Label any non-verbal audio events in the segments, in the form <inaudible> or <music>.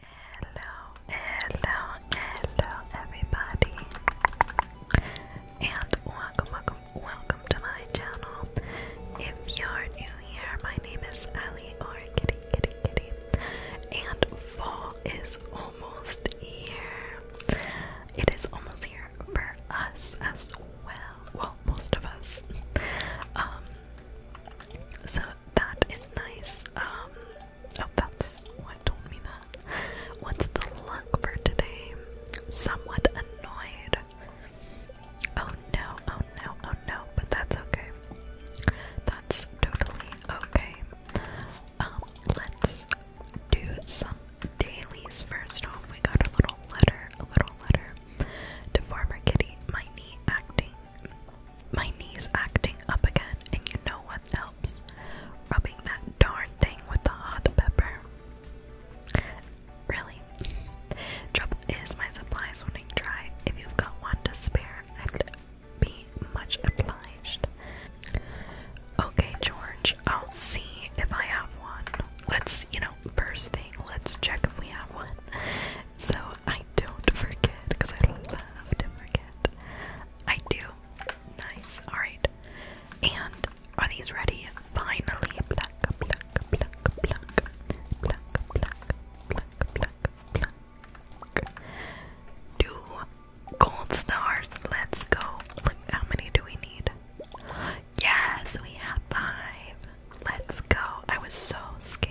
Hello, hello, hello, everybody, and welcome, welcome, welcome to my channel. If you're new here, my name is Ali or Kitty, Kitty, Kitty, and fall is almost here. It is almost here for us as well. Well, most of us. Um, so that is nice. Um. Oh, that's what told me that. What's the luck for today? Somewhat annoyed. Oh no, oh no, oh no, but that's okay. That's totally okay. Um, let's do some dailies first off. We got a little letter, a little letter to Farmer Kitty, my knee acting my knee's acting up again, and you know what helps? Rubbing that darn thing with the hot pepper. Really? Trouble is, my supply's running dry. If you've got one to spare, I'd be much obliged. Okay, George, I'll see if I have one. Let's, you know, first thing, let's check if we have one. So, I don't forget because I don't love to forget. I do. Nice. Alright. And are these ready? Finally. Pluck, pluck, pluck, pluck. Pluck, pluck, pluck, pluck, pluck. Two gold stars. Let's go. Look, how many do we need? Yes, we have five. Let's go. I was so scared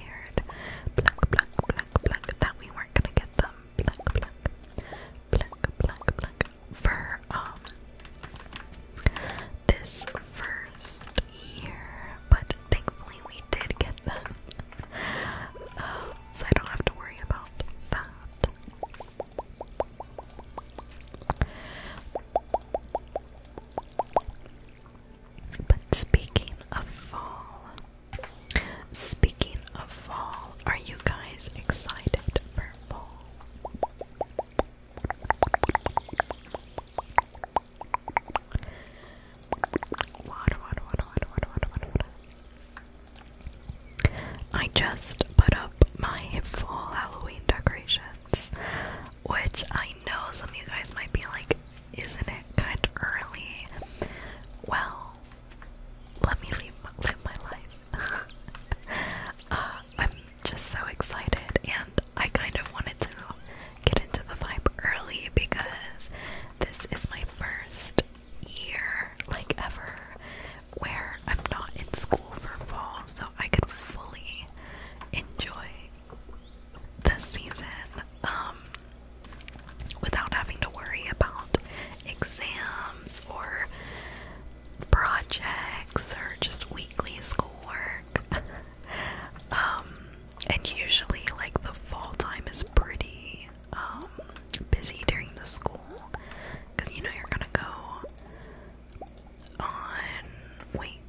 that we weren't gonna get them. For um this first year, but thankfully we did get them. Um, so I don't have to worry about that. But speaking of fall, Speaking of fall, are you guys excited for fall? Water, I just put up my fall Halloween decorations, which I know some of you guys might be like, isn't it kind of early? Well, let me live my life. <laughs> Uh, I'm just so excited, and I kind of wanted to get into the vibe early because this is my first year, like ever, where I'm not in school for fall, so I could fully enjoy the season. Um, without having to worry about exams or projects or just weekly schoolwork. <laughs> um, and usually, like, the fall time is pretty um, busy during the school because you know you're gonna go on. Wait,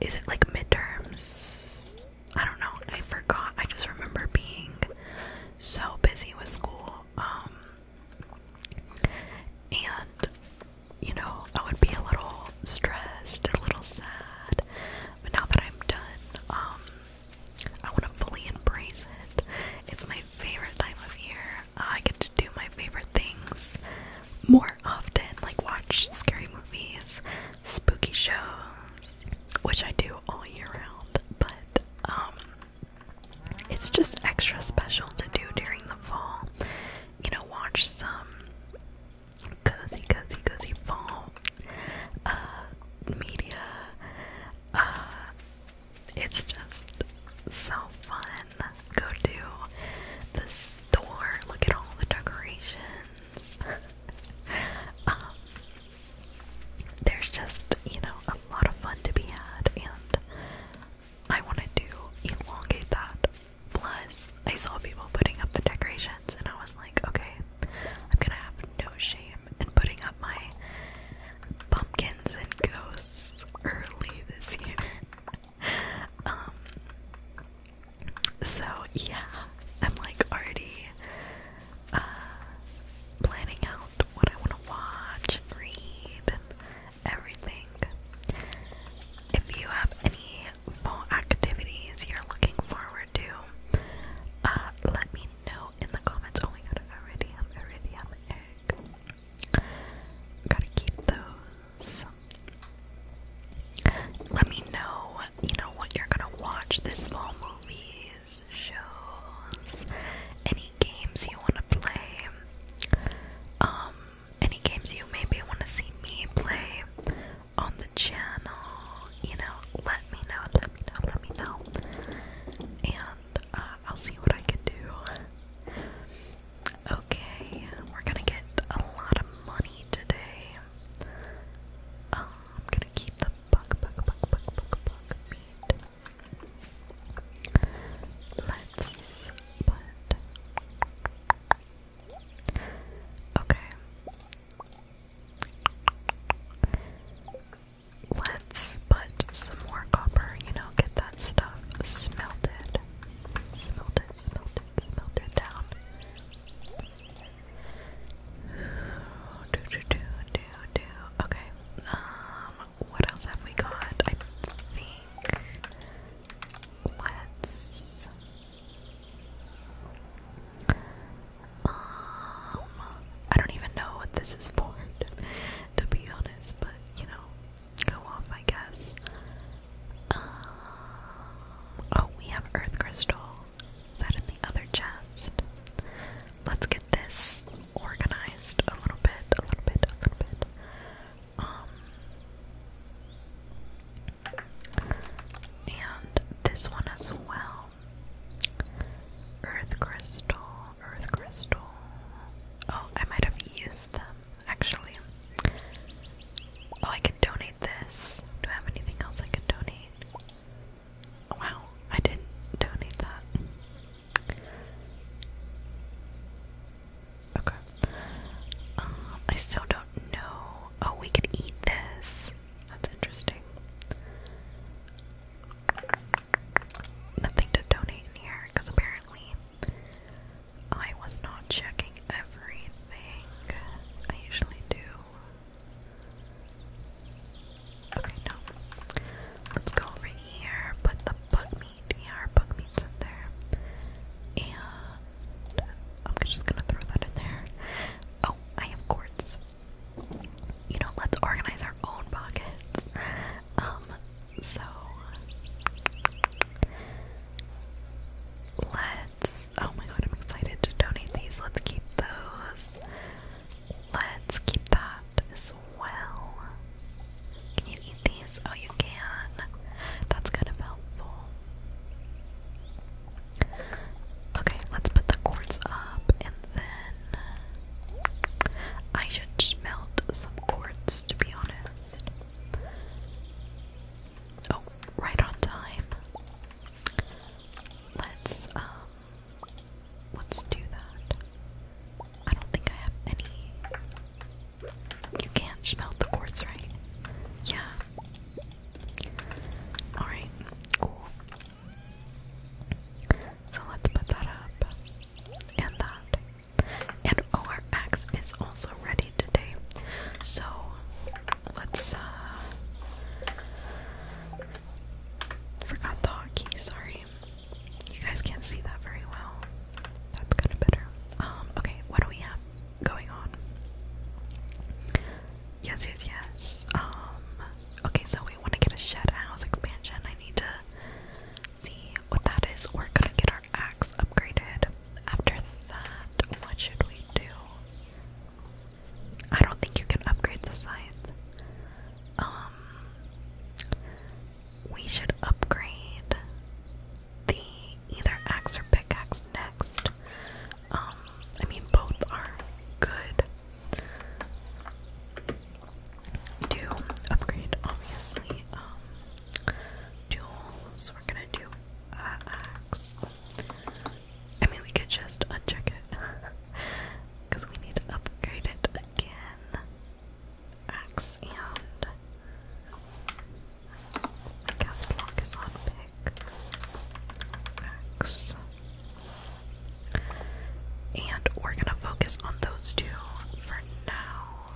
is it like midterms? I don't know. I forgot. I just remember being so busy with school. Um, and you know, I would be a little stressed, a little sad. But now that I'm done, um, I want to fully embrace it. It's my favorite time of year. I get to do my favorite things more often, like watch scary movies, spooky shows, which I do all year round, but um, it's just extra special to do during the fall. You know, watch some cozy, cozy, cozy fall uh, media. Uh, it's just so fun. Go to the store, look at all the decorations. <laughs> Um, there's just, you know, a lot of fun to be had, and I wanted to elongate that. Plus, I saw people putting up the decorations, and I was like, okay, I'm gonna have no shame in putting up my pumpkins and ghosts early this year. <laughs> um, so yeah, I'm like already uh, planning out what I want to watch and read and everything. If you have any fall activities you're looking forward to, uh, let me know in the comments. Oh my god, iridium, iridium egg. Gotta keep those. Let me know, you know, what you're gonna watch this fall movie shows, any games you want to play, um, any games you maybe want to see me play on the channel, you know, let me know, let me know, let me know, and uh, I'll see what I can do. Okay, we're gonna get a lot of money today. Um, I'm gonna keep the buck, buck, buck, buck, buck, buck feet. Let's put. Okay. Let's put some more copper, you know, get that stuff smelted. Smelted, smelted, smelted down. Do, do, do, do, do. Okay. Um, what else have we got? I think let's um I don't even know what this is for <laughs> to be honest, but you know, go off I guess. Um, oh, we have earth crystal that in the other chest. Let's get this organized a little bit, a little bit, a little bit. Um, and this one as well. Earth crystal, earth crystal. Oh, I might have used them actually. Oh, I can donate this. Do I have anything else I can donate? Wow, I didn't donate that. Okay. Um, I still don't know. Oh, we could eat this. That's interesting. Nothing to donate here because apparently I was not checking everything. I usually do. Okay, no. Let's go over here, put the bug meat. Yeah, our bug in there. And I'm just gonna throw that in there. Oh, I have quartz. You know, let's organize our own pockets. Um, so let's. Oh my god, I'm excited to donate these. Let's keep those. Let's keep that as well. Can you eat these? Oh, you can. That's kind of helpful. Okay, let's put the quartz up and then I should smelt some quartz to be honest. Oh, right on time. Let's um, Let's do that. I don't think I have any. You can't smell the quartz, right? Yeah. Alright, cool. So let's put that up. And that. And our axe is also ready today. So let's, uh, Forgot the hotkey, sorry. You guys can't see that very well. That's kind of better. Um, okay, what do we have going on? Yes, yes, yes. Um, okay, so we want to get a shed house expansion. I need to see what that is. We're gonna get our axe upgraded. After that, what should we do? I don't think you can upgrade the scythe um, we should upgrade the either axe or pickaxe next. Um, I mean, both are good to upgrade, obviously. Um, we're gonna do axe. I mean, we could just uncheck it because <laughs> we need to upgrade it again. Axe and gas is on pick. Axe. And we're gonna focus on those two for now.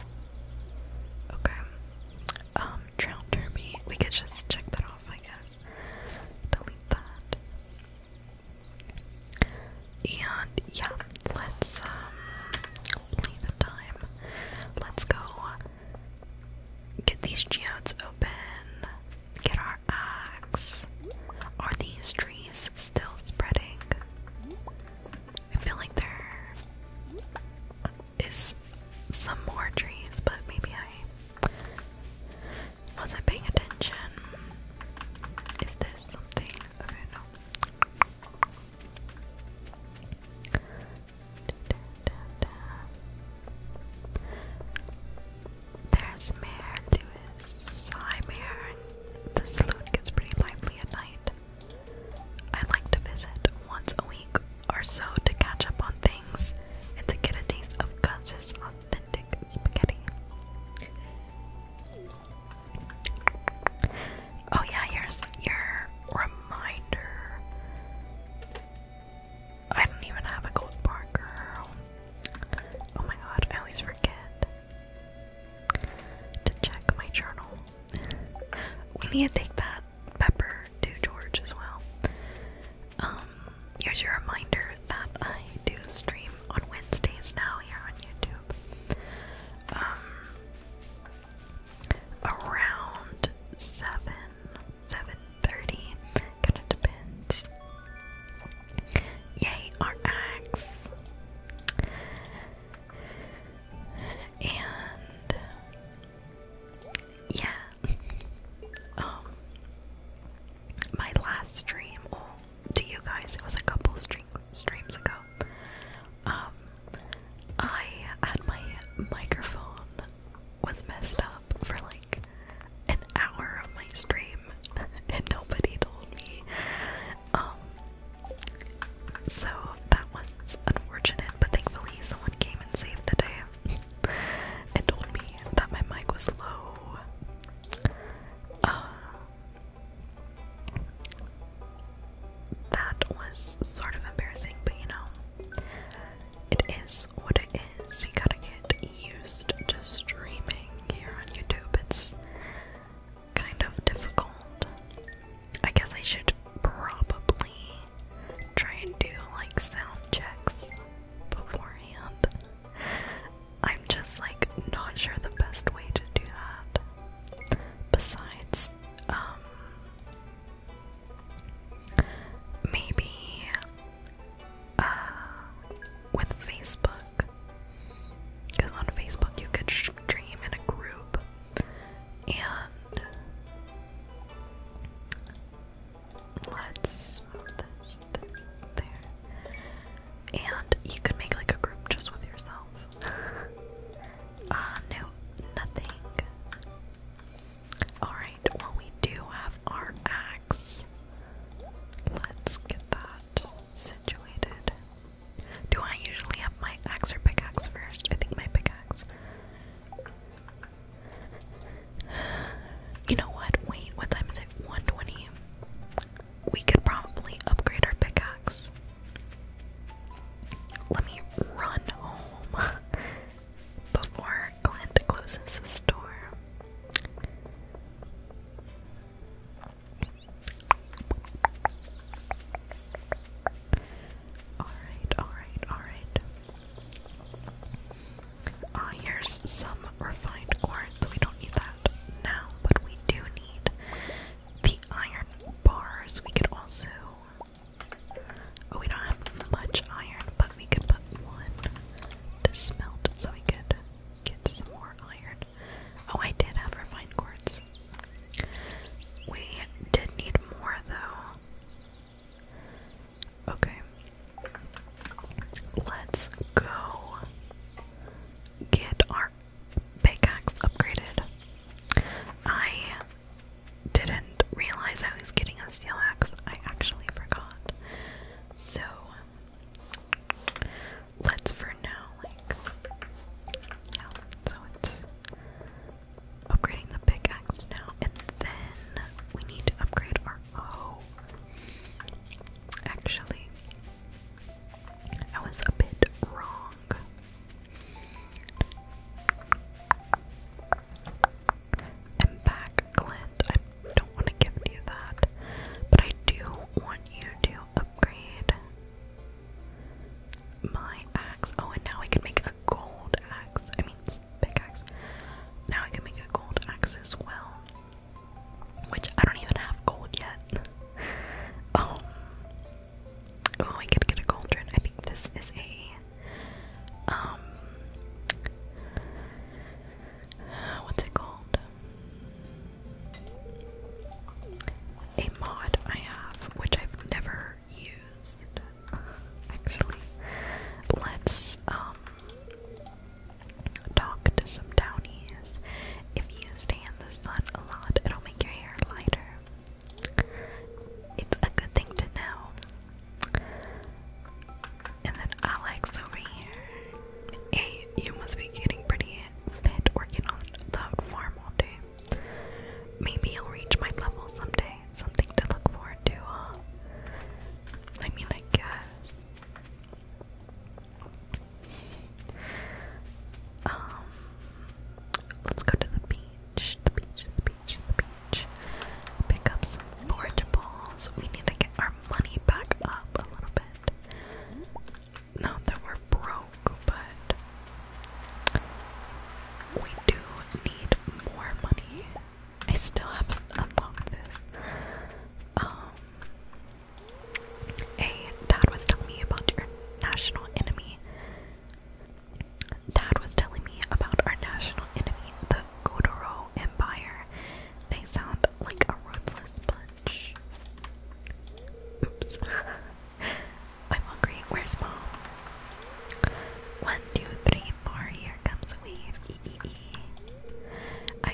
Okay. Um, drown derby. We could just check that off, I guess. Delete that. And yeah, let's um the time. Let's go get these geodes open. Get our axe. Are these trees still spreading? I feel like there is some more trees, but maybe I was I paying attention. Is this something? Okay, no. Da, da, da, da. There's Mare The saloon gets pretty lively at night. I like to visit once a week or so to catch up on things and to get a taste of Gus's authentic spaghetti. Oh yeah, here's your reminder. I don't even have a gold bar, girl. Oh my god, I always forget to check my journal. we need to take that pepper to George as well. Um, here's your reminder that I do stream on Wednesdays now here on YouTube. Um, around seven, seven thirty. Kind of depends. Yay, RX. And yeah, <laughs> um, my last stream. Oh, to you guys. It was a couple streams ago. Um, I had my microphone was messed up for like an hour of my stream, <laughs> and nobody told me. Um, so that was unfortunate, but thankfully someone came and saved the day <laughs> and told me that my mic was low. Uh, that was sort of embarrassing, but you know, it is what it is. You gotta get used to streaming here on YouTube. It's kind of difficult. I guess I should probably try and do like sound checks beforehand. I'm just like not sure the best way to do that. Besides, um, maybe uh, with Facebook, because on Facebook you could stream in a group and. Let's there and you could make like a group just with yourself. <laughs> uh, no, nothing. Alright, well, we do have our axe. Let's get that situated. Do I usually have my axe or pickaxe first? I think my pickaxe. <sighs> You know what? Wait, what time is it? 120 we could probably upgrade our pickaxe. Let me run home <laughs> before Clint closes his door. Alright, alright, alright. Uh, ah, here's some refined quartz. We don't need that now, but we do the iron bars. We could also. Oh, we don't have much iron, but we could put one to smelt so we could get some more iron. Oh, I did have refined quartz. We did need more, though. Okay. Let's go get our pickaxe upgraded. I didn't realize I was getting a steel axe. I actually forgot. So let's for now like so it's upgrading the pickaxe now and then we need to upgrade our oh actually I was a bit wrong. And back, Clint, I don't want to give you that, but I do want you to upgrade my axe. Oh, and now I can make a gold axe. I mean, pickaxe. Now I can make a gold axe as well. Which I don't even have gold yet. <laughs> Um, oh, I could get a cauldron. I think this is a um what's it called? A mod I have, which I've never used. <laughs> Actually, let's um talk to some downies if you stay in the sun a lot, it'll make your hair lighter. It's a good thing to know. And then Alex over here. Hey, you must be getting pretty fit working on the farm all day. Maybe I'll reach my level someday. Something to look forward to, huh? I mean, I guess. Um, let's go to the beach, the beach, the beach, the beach. Pick up some balls. We need to get our money back up a little bit. Not we're broke, but we do need more money. I still haven't unlocked this. Um, Hey, Dad was telling me about your national enemy. Dad was telling me about our national enemy, the Godoro Empire. They sound like a ruthless bunch. Oops. <laughs> I'm hungry. Where's mom? One, two, three, four. Here comes a wave.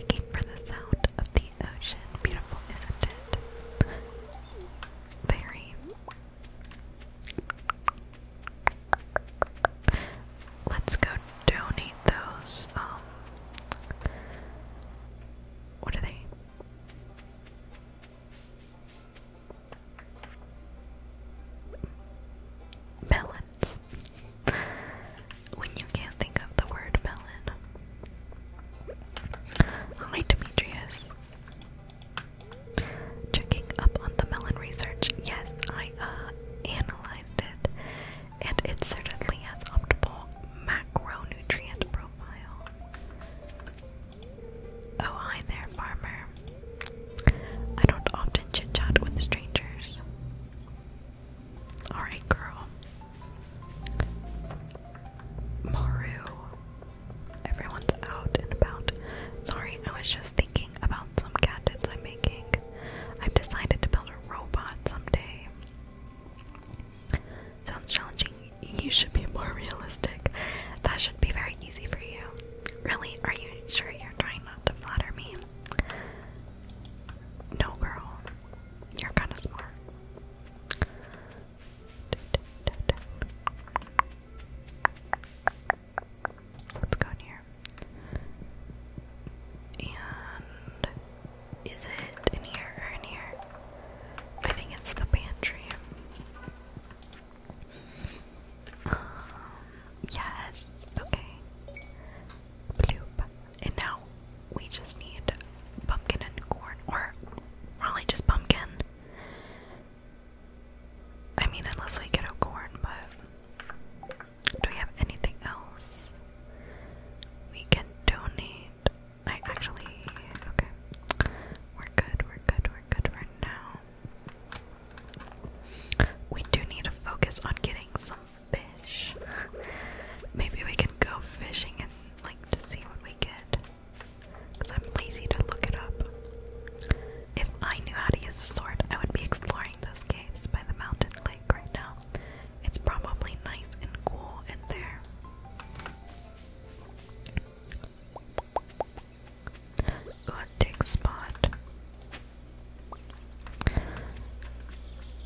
came for the sound of the the ocean. Beautiful, isn't it? Very. Let's go donate those. Um, what are they? Melons. <laughs> when you can't think of the word melon, Hi, Demetrius. Checking up on the melon research. Yes, I uh, analyzed it, and it certainly has optimal macronutrient profile. Oh, hi there, farmer. I don't often chit chat with strangers. Alright, girl. Maru. Everyone's out and about. Sorry, I was just thinking about some gadgets I'm making. I've decided to build a robot someday. Sounds challenging. You should be more realistic. That should be very easy for you. Really? Are you sure you're trying not to flatter me? No, girl. You're kind of smart. Let's go in here. And is it in here or in here? I think it's the pantry. Um, yes, okay. Bloop. And now we just need pumpkin and corn, or probably just pumpkin. I mean, unless we get a corn, but do we have anything else we can donate? I actually, okay, we're good, we're good, we're good right now. We do need to focus on getting some fish. Maybe we can go fishing and like to see what we get. Because I'm lazy to look it up. If I knew how to use a sword, I would be exploring those caves by the mountain lake right now. It's probably nice and cool in there. Good dig spot.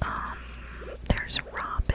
Um, there's Robin.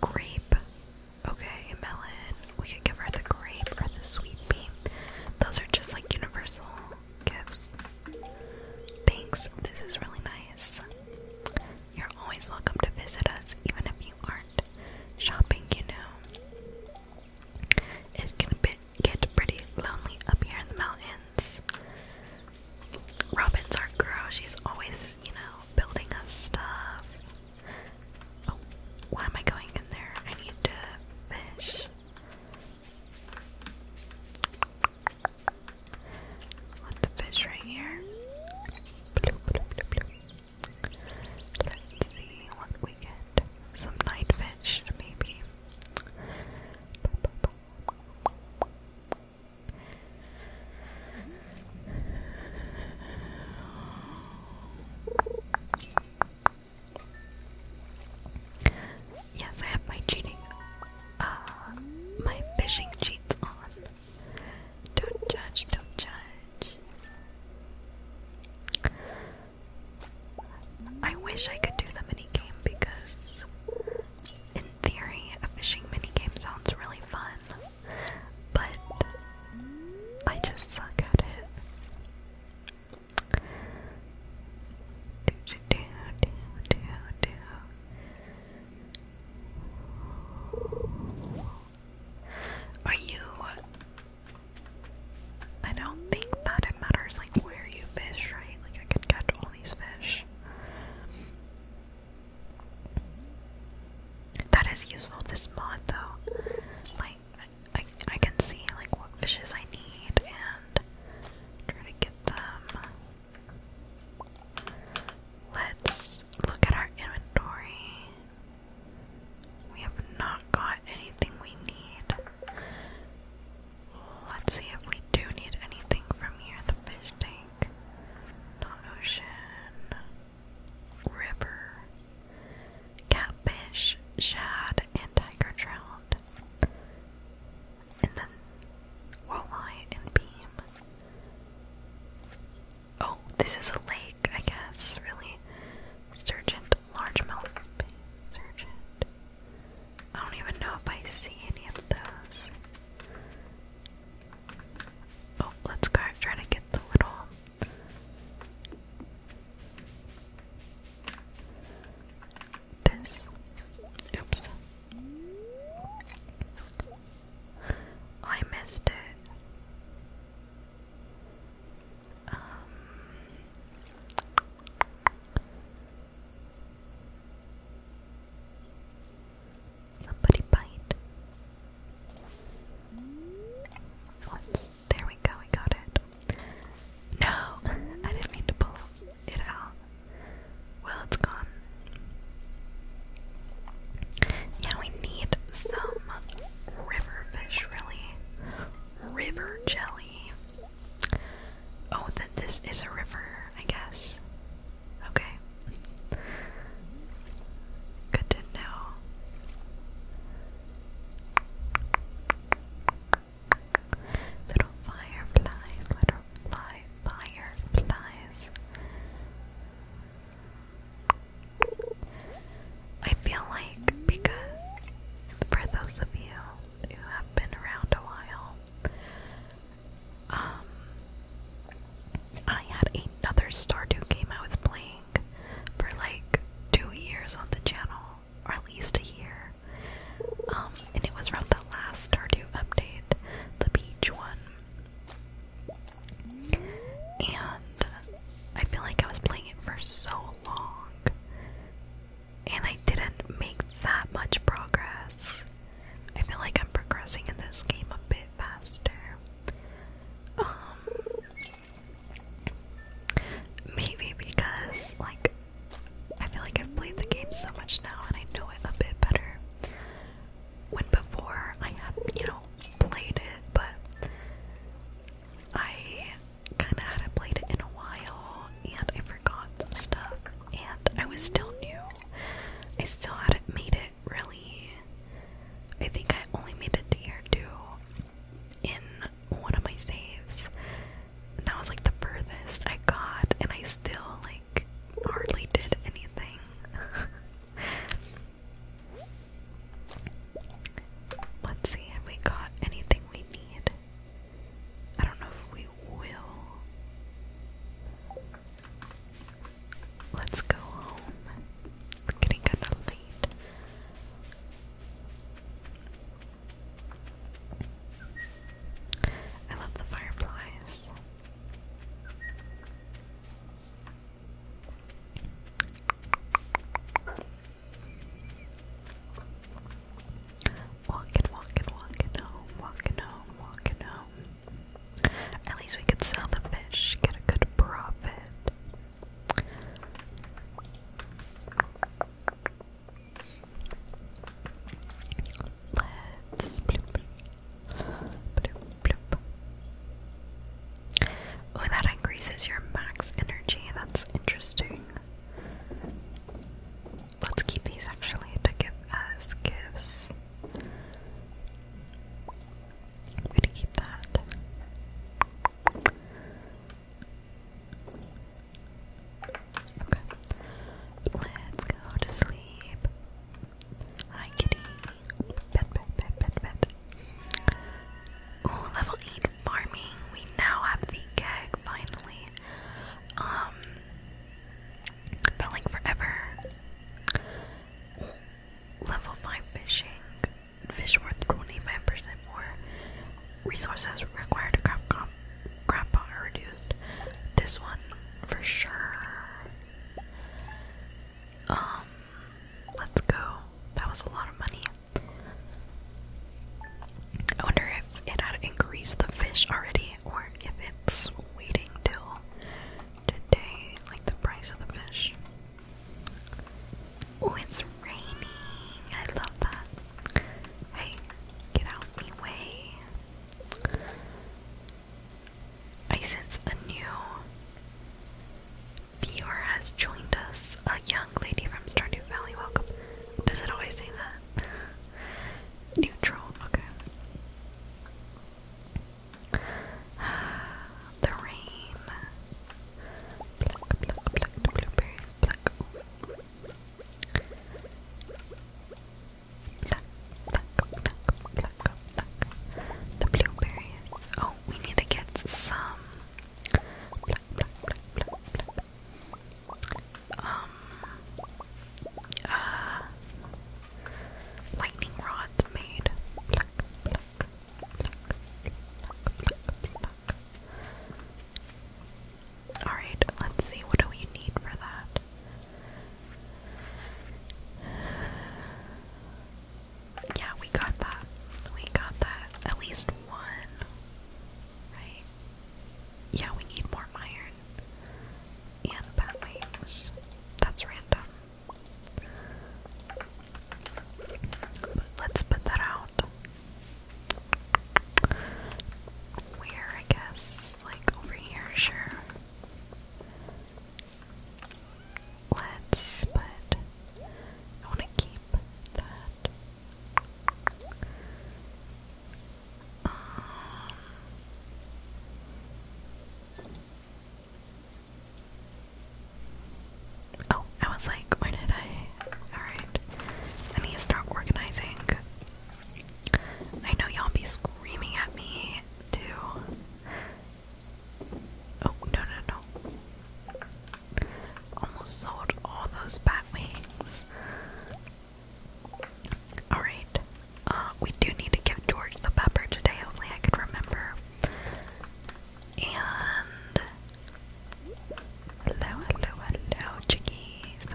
Grape. Okay, melon. We can give her the grape or the sweet pea. Those are just like universal gifts. Thanks, this is really nice. You're always welcome to visit us, even if you aren't shopping, you know. It can be get pretty lonely up here in the mountains. Robin's our girl, she's always you know, building us stuff. Oh, why am I going in there? I need to fish. Let's fish right here. Let's see what we get. Some night fish, maybe. Yes, I have my cheating, uh, my fishing cheats on. Don't judge, don't judge. I wish I could do the mini game because, in theory, a fishing mini game sounds really fun but I just suck at it. Do, do, do, do, do. Are you? I don't think that it matters like where you fish, right? Like I could catch all these fish. That is useful this mod though. Like I I can see like what fishes I need and try to get them. Let's look at our inventory. We have not got anything we need. Let's see if we do need anything from here. The fish tank, not ocean river, catfish, shad, and tiger trout, and then walleye and beam. Oh, this is a lake, I guess, really. Sturgeon, largemouth, sturgeon. I don't even know if I see any of those. Oh, let's go try to get the little. This. Oops. I missed it. Um, Somebody bite. There we go, we got it. No, I didn't mean to pull it out. Well, it's gone. Yeah, we need some river fish, really. River jelly. Oh, that this is a river, I guess. Okay. Good to know. Little fireflies, little fly fireflies. I feel like because for those of you who have been around a while, um, I had another Stardew game I was playing for like two years on the channel, or at least a year. Um, and it was from the last Stardew update, the beach one. And I feel like I was playing it for so long, and I didn't make that much progress. I feel like I'm progressing in this game a bit faster. Um, maybe because like I feel like I've played the game so much now and I know it a bit better. When before I had, you know, played it, but I kind of hadn't played it in a while and I forgot some stuff and I was still new. I still hadn't made it really. I think I only made it to year two in one of my saves. that was like the furthest I got, and I still like hardly did anything. <laughs> Let's see, have we got anything we need? I don't know if we will. Let's go home. getting kind of late. I love the fireflies. Walking, walking, walking home, walking home, walking home. At least we could sell the fish, get a good profit. Let's bloop, bloop, bloop. Oh, that increases your max energy. That's interesting. Let's keep these actually to give as gifts. I'm gonna keep that. Okay. Let's go to sleep. Hi, kitty. Pet, pet, pet, pet, pet. Ooh, level 8 farming. We now have the keg, finally. Um, felt forever. Level 5 fishing. Fish worth 25% more. Resources required to craft grab, grab pot reduced. This one, for sure. Um, let's go. That was a lot of money. I wonder if it had increased the fish already or if it's waiting till today, like the price of the fish. Oh, it's raining. I love that. Hey, get out me way. I sense a new viewer has joined us. A young lady from Stardew Valley. Welcome. Does it always say that? <laughs> Neutral. Okay. <sighs> the rain. Pluck, pluck, pluck, blueberries, pluck. Pluck, pluck, pluck, pluck, pluck. The blueberries. Oh, we need to get some. Um. Uh. Lightning rods made. Alright, let's see. What do we need for that? Yeah, we got that. We got that. At least one. Right? Yeah, we need more iron. And bat wings. That's random let's put that out. Where, I guess? Like over here, sure. Let's put. I want to keep that. Um, Oh, I was like, where did I? Alright. I need to start organizing. I know y'all be screaming at me too. Oh, no, no, no. Almost sold all those bat wings. Alright. Uh, we do need to give George the pepper today. Hopefully, I could remember. And hello, hello, hello, chickies.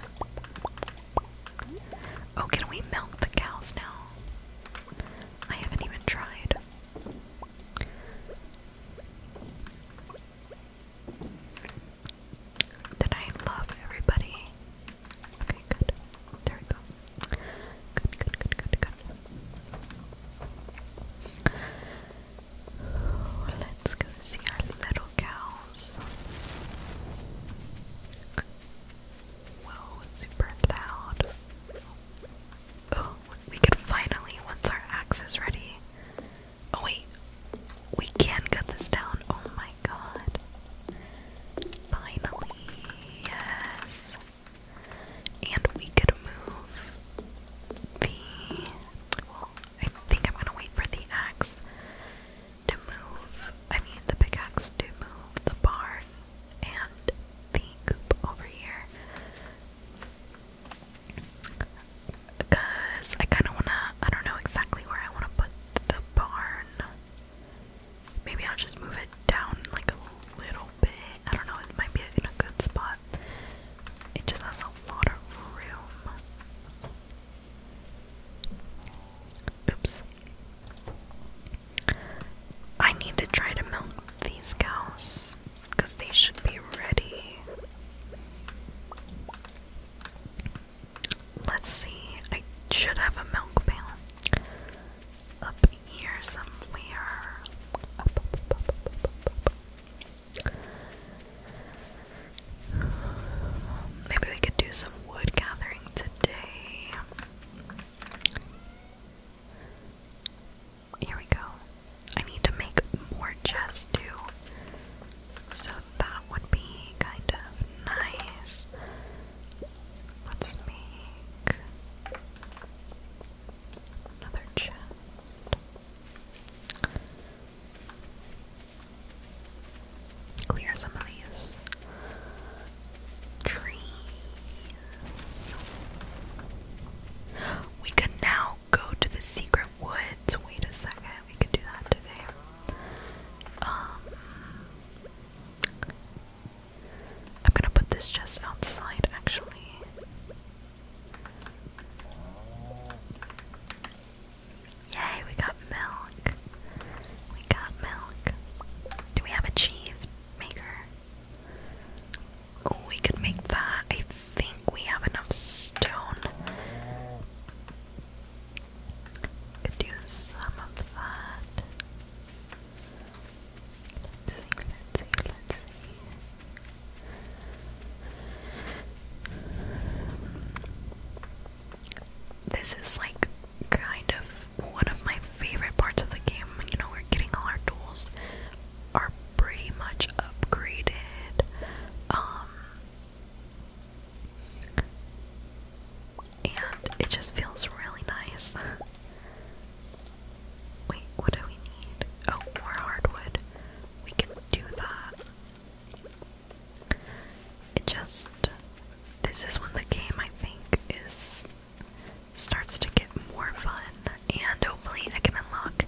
Oh, can we milk the cows now? I haven't even tried. Did I love everybody? Okay, good. There we go. Good, good, good, good, Let's go see our little cows. Whoa, super loud. Oh, we could finally, once our axe is ready. Oh, wait, we can cut this down. Oh my god. Finally, yes. And we could move the. Well, I think I'm gonna wait for the axe to move. I mean, the pickaxe to move the barn and the coop over here. Because I kind of want to, I don't know exactly where I want to put the barn. Maybe I'll just move it down like a little bit. I don't know, it might be in a good spot. It just has a lot of room. Oops. I need to try to milk these cows because they should be ready. Let's see, I should have a milk pail up here somewhere. Maybe we could do some wood gathering today. Here we go. I need to make more chests too. So that would be kind of nice. Let's make Another chest. Clear some of these trees. We can now go to the secret woods. Wait a second, we can do that today. Um I'm gonna put this chest outside actually. Yay, we got milk. We got milk. Do we have a cheese maker? we could make that. I think we have enough stone. Could do some of that. This is like kind of one of my favorite parts of the game. You know, we're getting all our tools are pretty much upgraded. Um, and it just feels really nice. <laughs> Wait, what do we need? Oh, more hardwood. We can do that. It just. This is when the game, I think, is. starts to get more fun, and hopefully I can unlock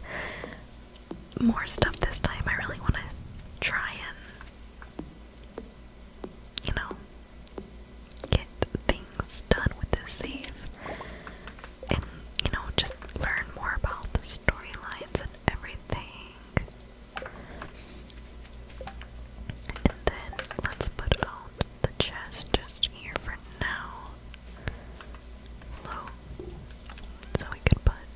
more stuff this time. I really want to try and. you know. Get things done with this save and you know just learn more about the storylines and everything. And then let's put out the chest just here for now. So we could put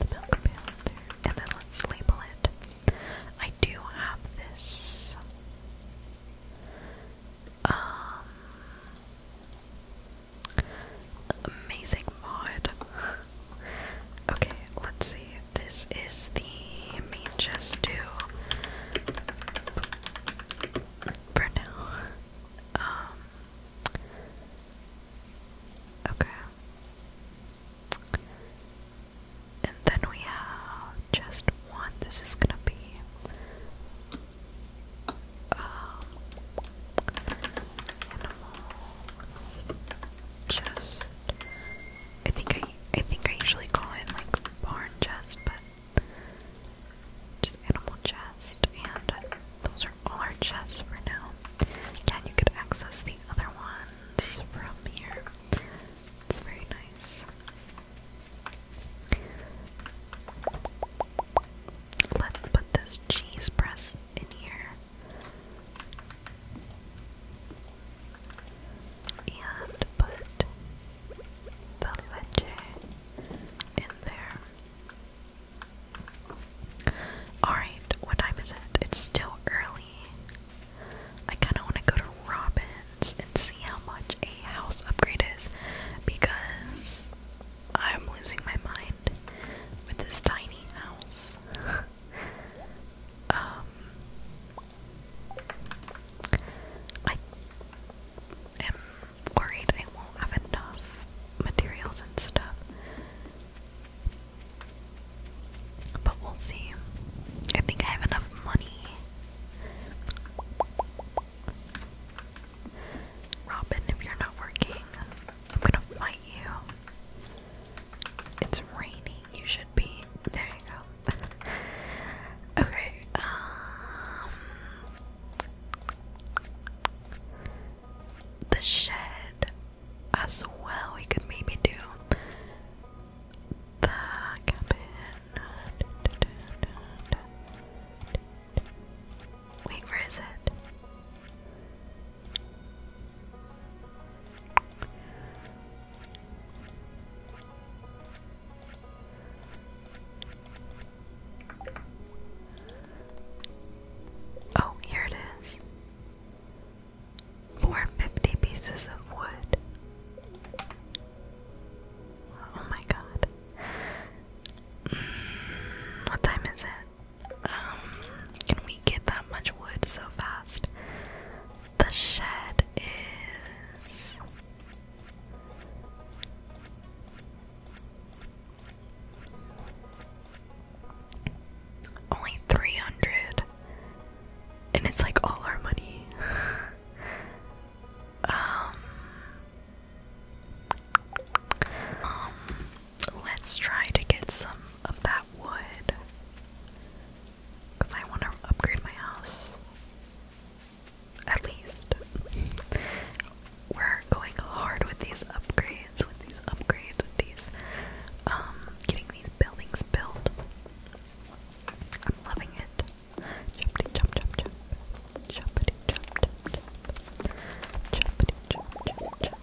the milk pail there. And then let's label it. I do have this um Amazing mod. okay, let's see. This is the main chest too. For now. Um, okay. And then we have just one. This is gonna be um, animal. Chest. I think I I think I usually call it like barn chest, but just animal chest, and those are all our chests for now. Yeah, you could access the other ones from here. It's very nice. Let's put this cheese press in here. And put the leche in there. Alright, what time is it? It's still early. I kinda wanna go to Robin's and see how much a house upgrade is because I'm losing my mind with this tiny house. <laughs> um, I am worried I won't have enough materials and stuff. But we'll see. I think I have enough money. Robin, if you're not working, I'm gonna fight you. It's raining, you should be. There you go. <laughs> okay, um. The shed as well, we could maybe do the cabin. Wait, where is it? Oh, here it is. Four fifty pieces of wood. Oh my god. Mm, what time is it? Um, can we get that much wood so fast? The shed is. Only 300. And it's like all our money. <laughs> um, um, let's try to get some of that wood. Because I want to upgrade my house. At least. We're going hard with these upgrades, with these upgrades, with these, um, getting these buildings built. I'm loving it. Jump, jump, jump, jump. Choppity chop chop chop. Choppity chop chop chop.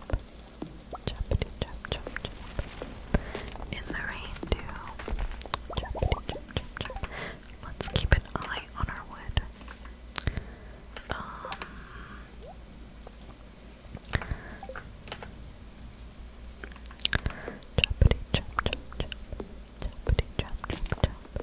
Choppity chop chop chop. In the rain too. Let's keep an eye on our wood. Um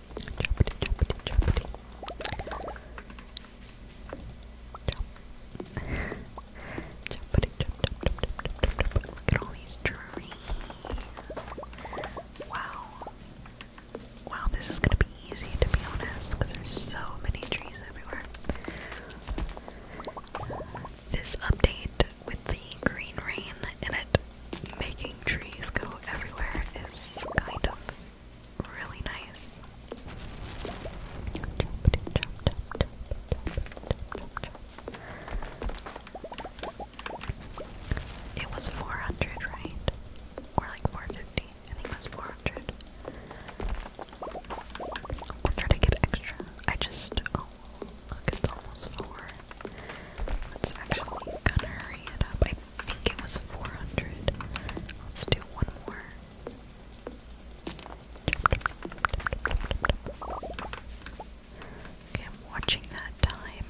Choppity, choppity, choppity. Chop. choppity, chop, chop, chop, Look at all these trees. Wow. Wow, this is gonna be easy to be honest, there's so many trees everywhere. This update with the green rain in it making trees go everywhere is kind of really nice. It was 400, right? Or like 450. I think it was 400. I'll try to get extra. I just. Oh, it's almost 4. Let's actually kind of hurry it up. I think it was 400. Let's do one more. I'm watching that time.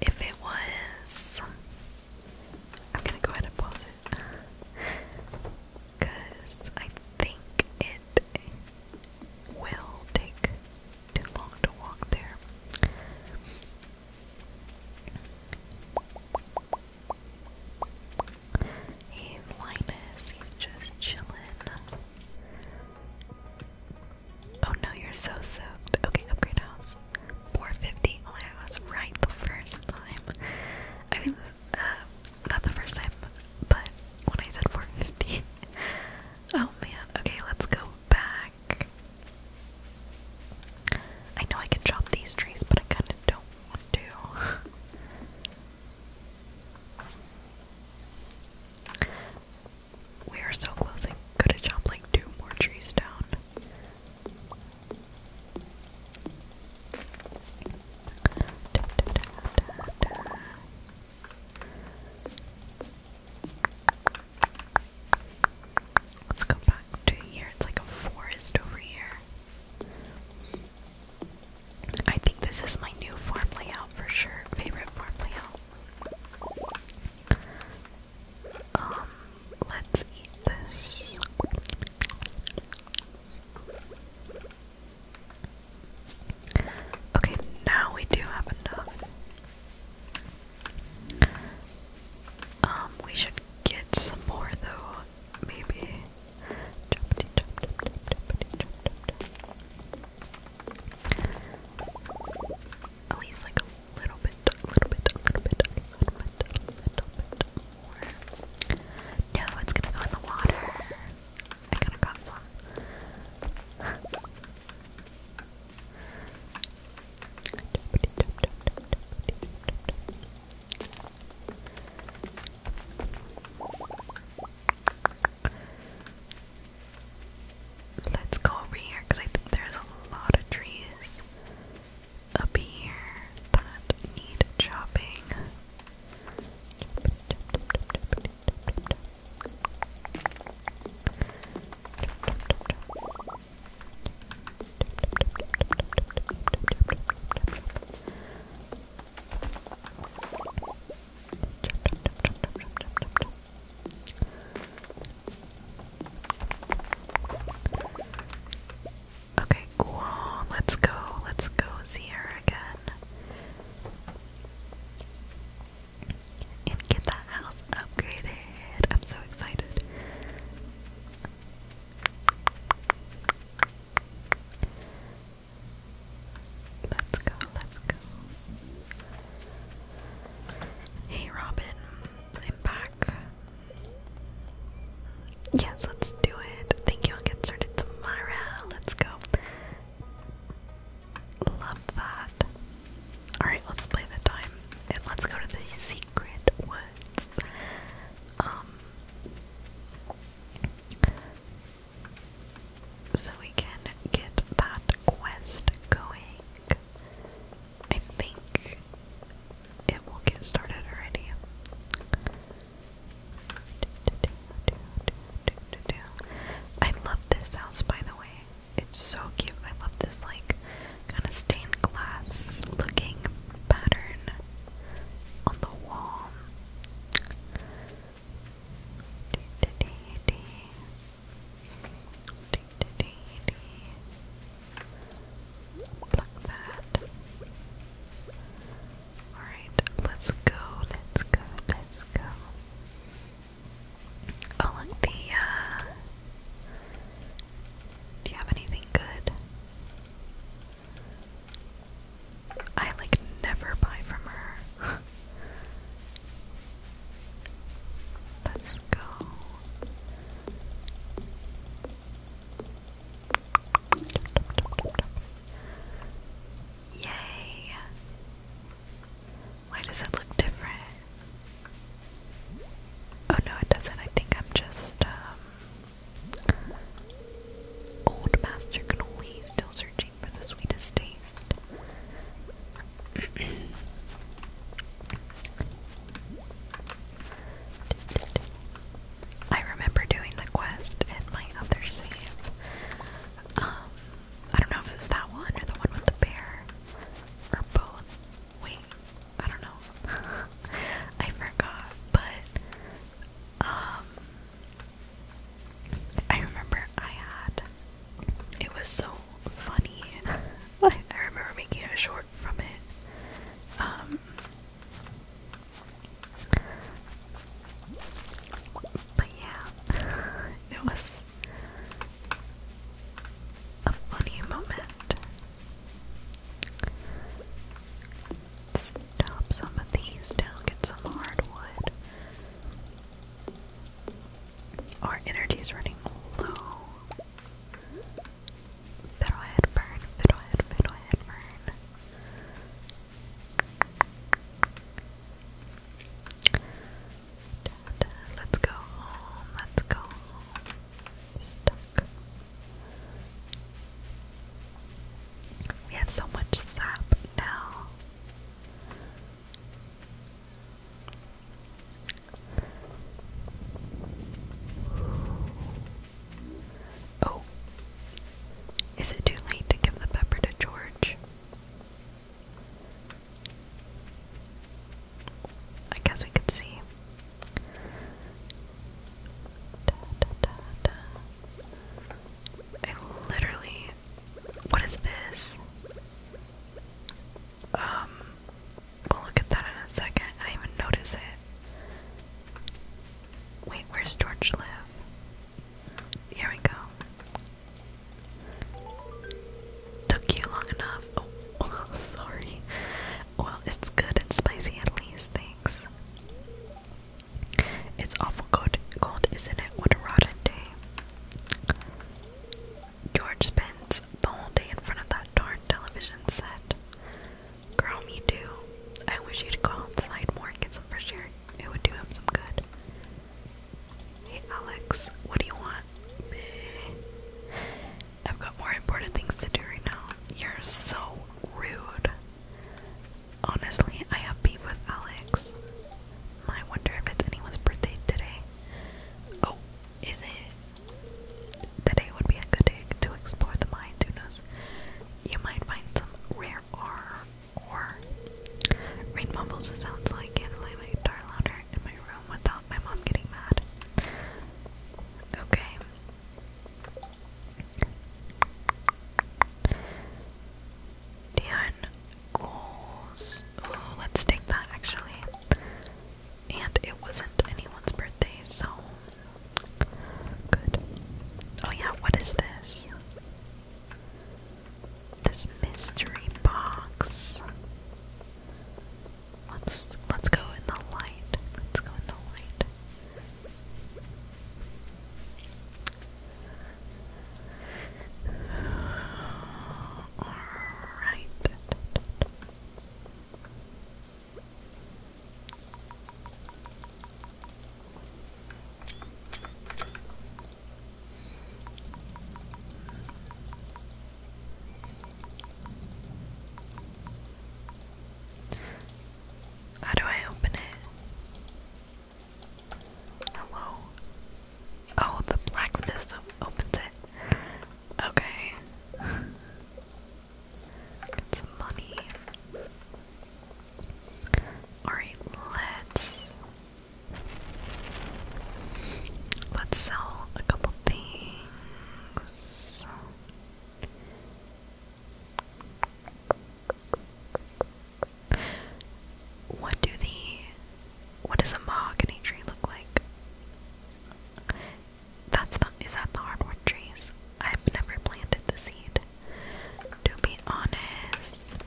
If it was. I'm gonna go ahead and pause it. Because I think it will take too long to walk there. Hey Linus, he's just chilling. Oh no, you're so soaked. Okay, upgrade house. 450. Oh, I was right the first time. I mean, uh, not the first time, but when I said 450, <laughs> Oh man, okay, let's go back. I know I can chop these trees, but I kinda don't want to. <laughs> we are so close, I could have like two more trees down. Let's go back to here. It's like a forest over here. I think this is my new farm layout for sure. Favorite farm layout. Um, let's eat this. Okay, now we do have enough. Um, we should get some more though, maybe. At least like a little bit, a little bit, a little bit, a little bit, a little bit more. No, it's gonna go in the water. I kind of got some. Let's go over here because I think there's a lot of trees up here that need chopping. Okay, cool. Let's go. Let's go zero again and get that house upgraded. I'm so excited. Let's go, let's go. Hey Robin, I'm back. Yes, let's do it. Thank you, i get started tomorrow. Let's go. Love that. Alright, let's play the time. And let's go to the secret woods. Um so we can get that quest going. I think it will get started already. I love this house by the way. It's so cute. I love this like kind of stained glass looking pattern on the wall. Pluck that. Alright, let's go, let's go, let's go. Oh look, the uh do you have anything good? I like never buy from her. Let's go. Yay. Why does it look different? Oh no, it doesn't. I think I'm just um, old master cannoli, still searching for the sweetest taste. I remember doing the quest in my other save. Um, I don't know if it was that one or the one with the bear. Or both. Wait, I don't know. <laughs> I forgot, but um I remember I had it was so funny. <laughs> I remember making a short from it. Um but yeah, <laughs> it was a funny moment. Stop some of these down, get some hardwood. Our energy's running low. Fiddlehead burn, fiddlehead, fiddlehead burn let's go home, let's go home. Stuck. We have so much sap now. Oh, is it too late to give the pepper to George? I guess we could see. I literally. What is this? Um. We'll look at that in a second. I didn't even notice it. Wait, where's George live? Here we go. Took you long enough. Oh, <laughs> oh, sorry. Well, it's good and spicy at least. Thanks. It's awful cold, cold, isn't it? What a rotten day. George spends the whole day in front of that darn television set. Girl, me too. I wish you would go outside more and get some fresh air. It would do him some good. Hey Alex, what do you want? I've got more important things to do right now. You're so rude. Honestly, I have beef with Alex. I wonder if it's anyone's birthday today. Oh, is it? Today would be a good day to explore the mind, who knows? You might find some rare R or rain mumbles it sounds like. can play my guitar louder in my room without my mom getting mad. Okay. And goals. let's take that actually. And it wasn't anyone's birthday, so good. Oh yeah, what is this? this mystery box. Let's let's go in the light. Let's go in the light. Alright. How do I open it? Hello? Oh, the blacksmith stuff opens it. Okay. Get money. Alright, let's Let's sell a couple things. What do the what does a mahogany tree look like? That's the is that the hardwood trees? I've never planted the seed. To be honest.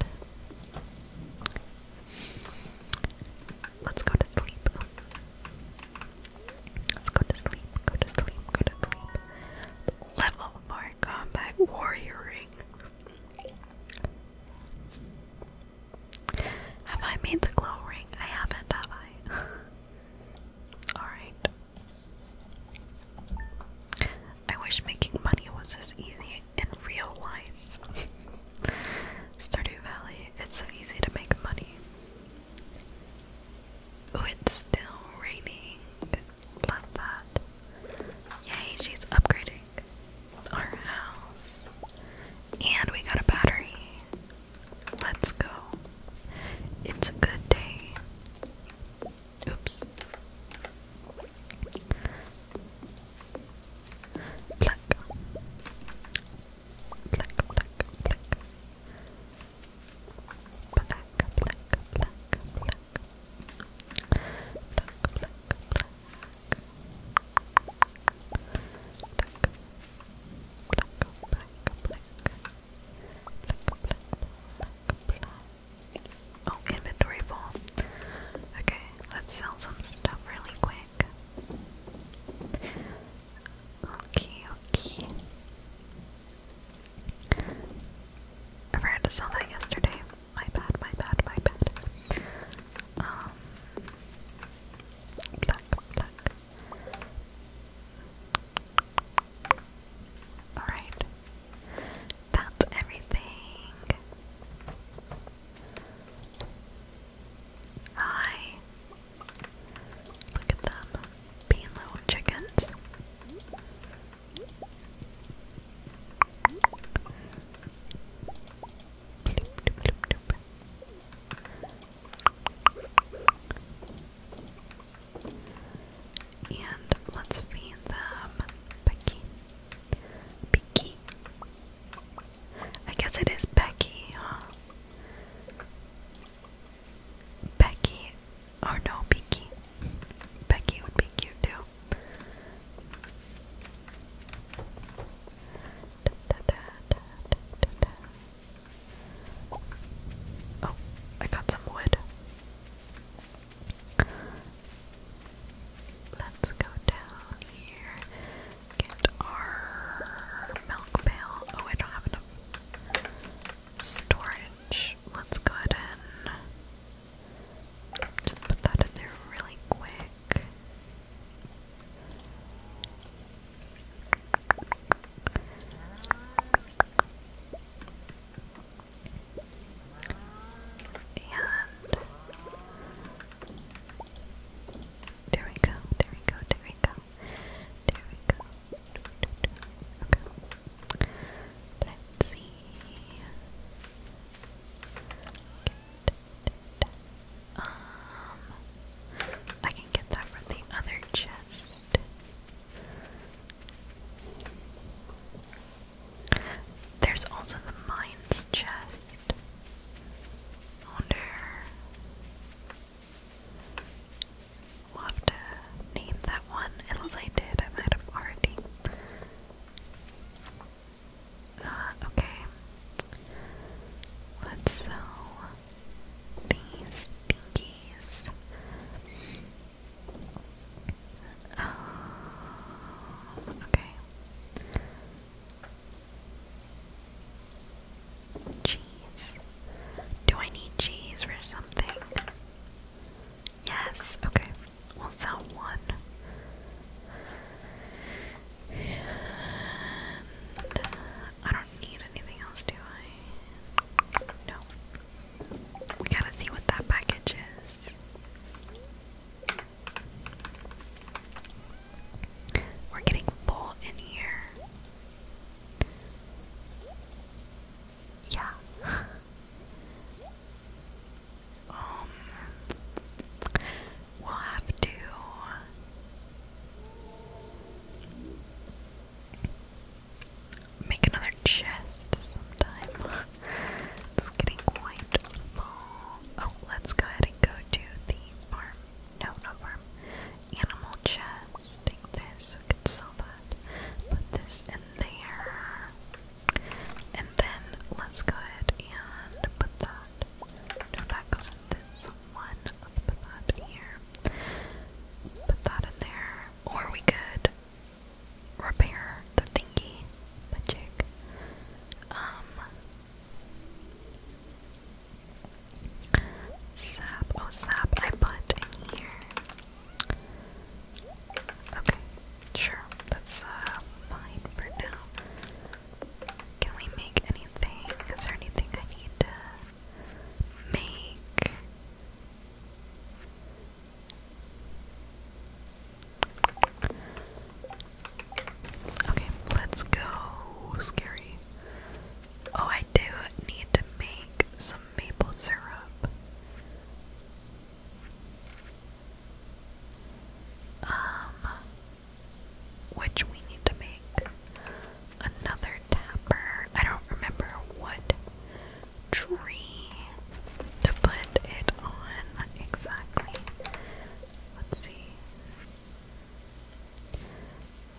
Let's go to sleep. Let's go to sleep. Go to sleep. Go to sleep. Level 4 combat warrior ring. Have I made the glow ring? I haven't, have I? <laughs> Alright. I wish making money was as easy in real life. <laughs> Stardew Valley, it's so easy to make money. Oh, it's still raining. Love that. Yay, she's upgrading our house. And we got a battery. Let's go. It's a good day. Oops. Black black, black, black. Black, black, black, black. Black, black, black. Black, black, black. Black, black, black, black. Oh, inventory full. Okay, let's sell some stuff really quick. Okay, okay. I forgot to sell that yesterday. My bad, my bad, my bad. Um, Alright. That's everything. I Look at them being little chickens. And let's feed them Becky. Becky. I guess it is Becky, huh? Becky, or no, Beaky. Becky would be cute too. Oh, I got some wood. Let's go down here get our milk pail. Oh, I don't have enough storage. Let's go ahead and just put that in there really quick. And there we go, there we go, there we go. There we go. Let's see. Um I can get that from the other chest. There's also the mines chest wonder. we to name that one. Unless I did, I might have already. Uh, okay. Let's sell these dinkies. Um, uh, okay. Cheese. Do I need cheese for something? Yes, okay. We'll sell one. I don't need anything else, do I? No. We gotta see what that package is. We're getting full in here. Yeah. <laughs> um we'll have to make another chest sometime. <laughs> it's getting quite full. Oh, let's go ahead and go to the farm no, not worm. Animal chest. Take this. We that. Put this in there. And then let's go ahead and put that. No, that goes in this one. put that here. Put that in there. Or we could repair the thingy. Magic. Um Sap, oh sap, I put in here. Okay, sure, that's uh, fine for now. Can we make anything? Is there anything I need to make? Okay, let's go. Scary. Oh, I do need to make some maple syrup. Um, which we need to make another tapper. I don't remember what tree to put it on exactly. Let's see.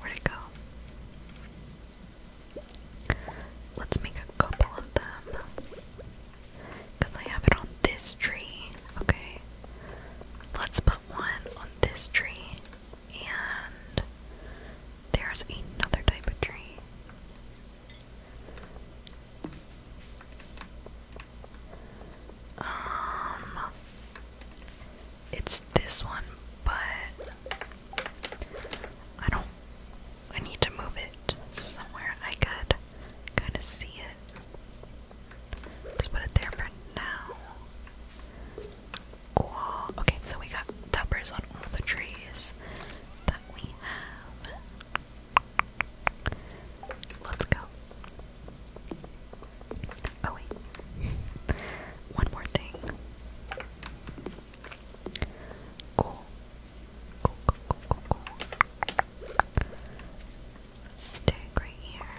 Where'd it go? Let's make a couple of them. Because I have it on this tree. Okay. Let's put one on this tree. And there's another type of tree. Um, it's this one, but I don't. I need to move it somewhere I could kind of see it. Just put it there for now. Cool. Okay, so we got tuppers on all the trees that we have. Let's go. Oh wait. One more thing. Cool. Cool, cool, cool, cool, cool. right here.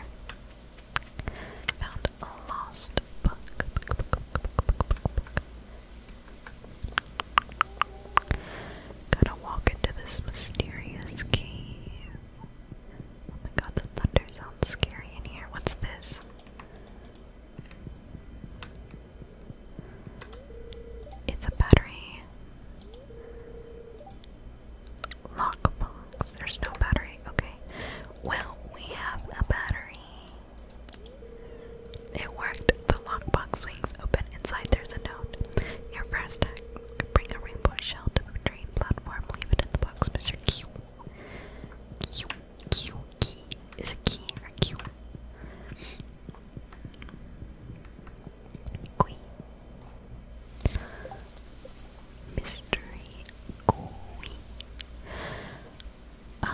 Found a lost book. book, to walk into this mysterious cave. Oh my god, the thunder sounds scary in here. What's this? It's a battery. Lockbox. There's no battery. Okay. Well, we have a battery. It worked. The lockbox swings open. Inside there's a note. Your first act. Bring a rainbow shell to the train platform. Leave it in the box, Mr. Q. Q, Q, key. Is it key Q? Qui. Mystery Qui. Um,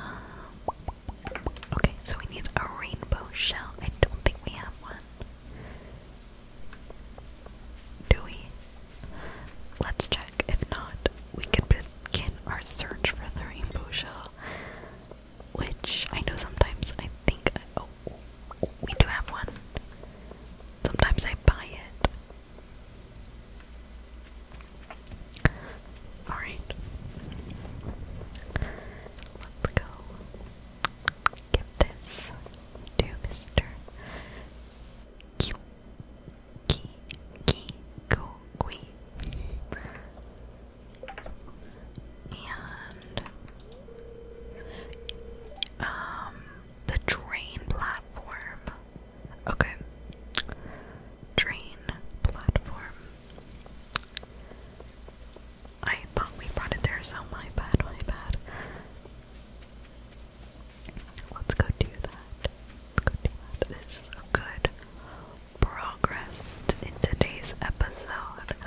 okay, so we need a rainbow shell. I don't think we have one. Do we? Let's check. If not, we can begin our search for the rainbow shell. Which I know sometimes I think. I, oh, we do have one. Sometimes I buy it. Alright. Let's go. Give this to Mr ki, ki, go, qui. And um the train platform. Okay. Train platform. I thought we brought it there, so my bad, my bad. Let's go do that. go do that. This is good progress in today's episode. <laughs>